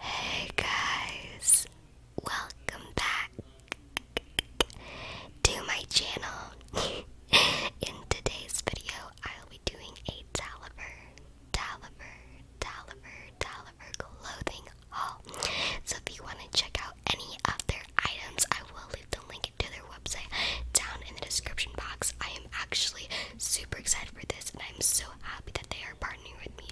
Hey guys, welcome back to my channel. In today's video, I'll be doing a Taliver, Taliver, Taliver, Taliver clothing haul. So if you want to check out any of their items, I will leave the link to their website down in the description box. I am actually super excited for this, and I'm so happy that they are partnering with me,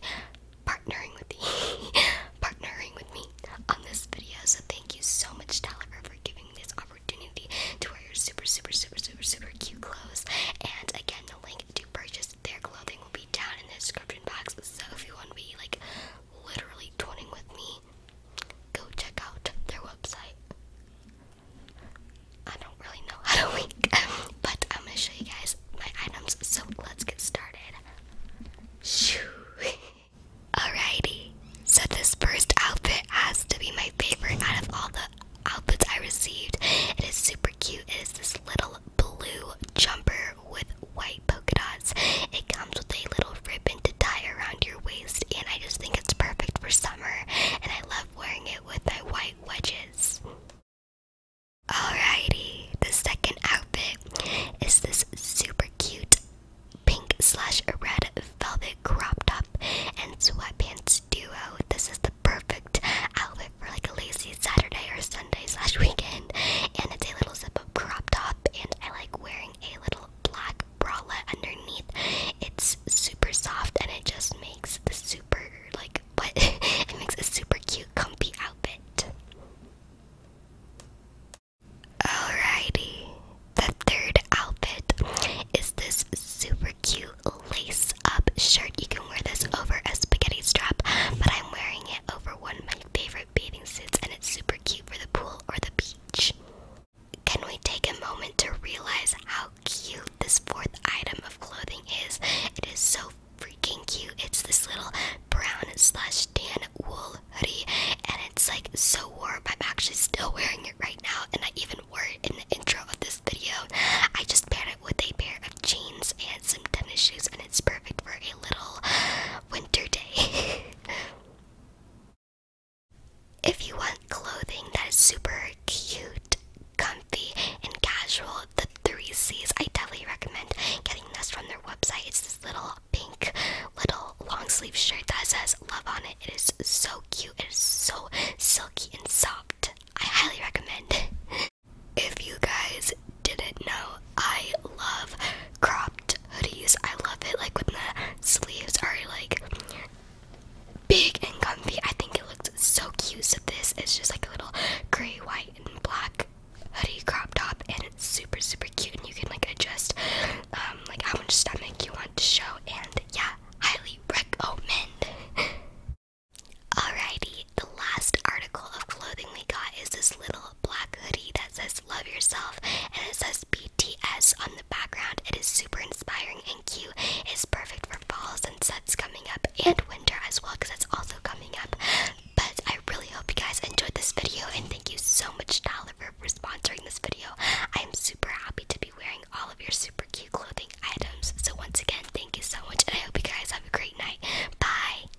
partnering with me, partnering with me on this video. So thank you so much, Talifer, for giving me this opportunity to wear your super, super, super, super, super cute clothes. And again, the link to purchase their clothing will be down in the description box. So if you want to be like literally twinning with me, go check out their website. I don't really know how to link, but I'm gonna show you guys my items, so let's get started. Alrighty, so this first outfit has to be my favorite out of all the outfits I received. It is super cute. It is this little blue jumper with white polka dots. It comes with a little ribbon to tie around your waist, and I just think it's perfect for summer, and I love wearing it with my white wedges. Alrighty, the second outfit is this super cute pink slash red velvet crop top and sweatpants duo. This is the perfect outfit for like a lazy Saturday or Sunday slash weekend. And it's a little zip up crop top, and I like wearing a little black bralette underneath. It's super soft, and it just makes the super like what it makes a super cute, comfy outfit. Alrighty, the third outfit is this super cute lace up shirt. You can wear this over a spaghetti strap, but I'm wearing it over one of my favorite bathing suits, and it's super cute for the pool or the beach. Can we take a moment to realize how cute this fourth item of clothing is? It is so freaking cute. It's this little brown slash tan wool hoodie, and it's like so warm. I'm actually still wearing it right now, and I even one in the intro of this video. I just paired it with a pair of jeans and some tennis shoes, and it's perfect for a little winter day. if you want clothing that is super cute, comfy, and casual, the three C's, I definitely recommend getting this from their website. It's this little pink little long sleeve shirt that says love on it. It is so cute. It is so silky and soft. I highly recommend. if you guys didn't know, I love cropped hoodies. I love it like when the sleeves are like big and comfy. I think it looks so cute. So this is just like a little gray, white, and black hoodie crop top, and it's super super cute. And you can like adjust um, like how much stomach you want to show. And yeah, highly recommend. Alrighty, the last article of clothing we got is this little black hoodie that says Love Yourself and it says BTS on the background. It is super inspiring and cute. It's perfect for falls and sets coming up and winter as well because that's also coming up. But I really hope you guys enjoyed this video and thank you so much, Tyler, for for, sponsoring this video. I am super happy to be wearing all of your super cute clothing items. So, once again, thank you so much, and I hope you guys have a great night. Bye.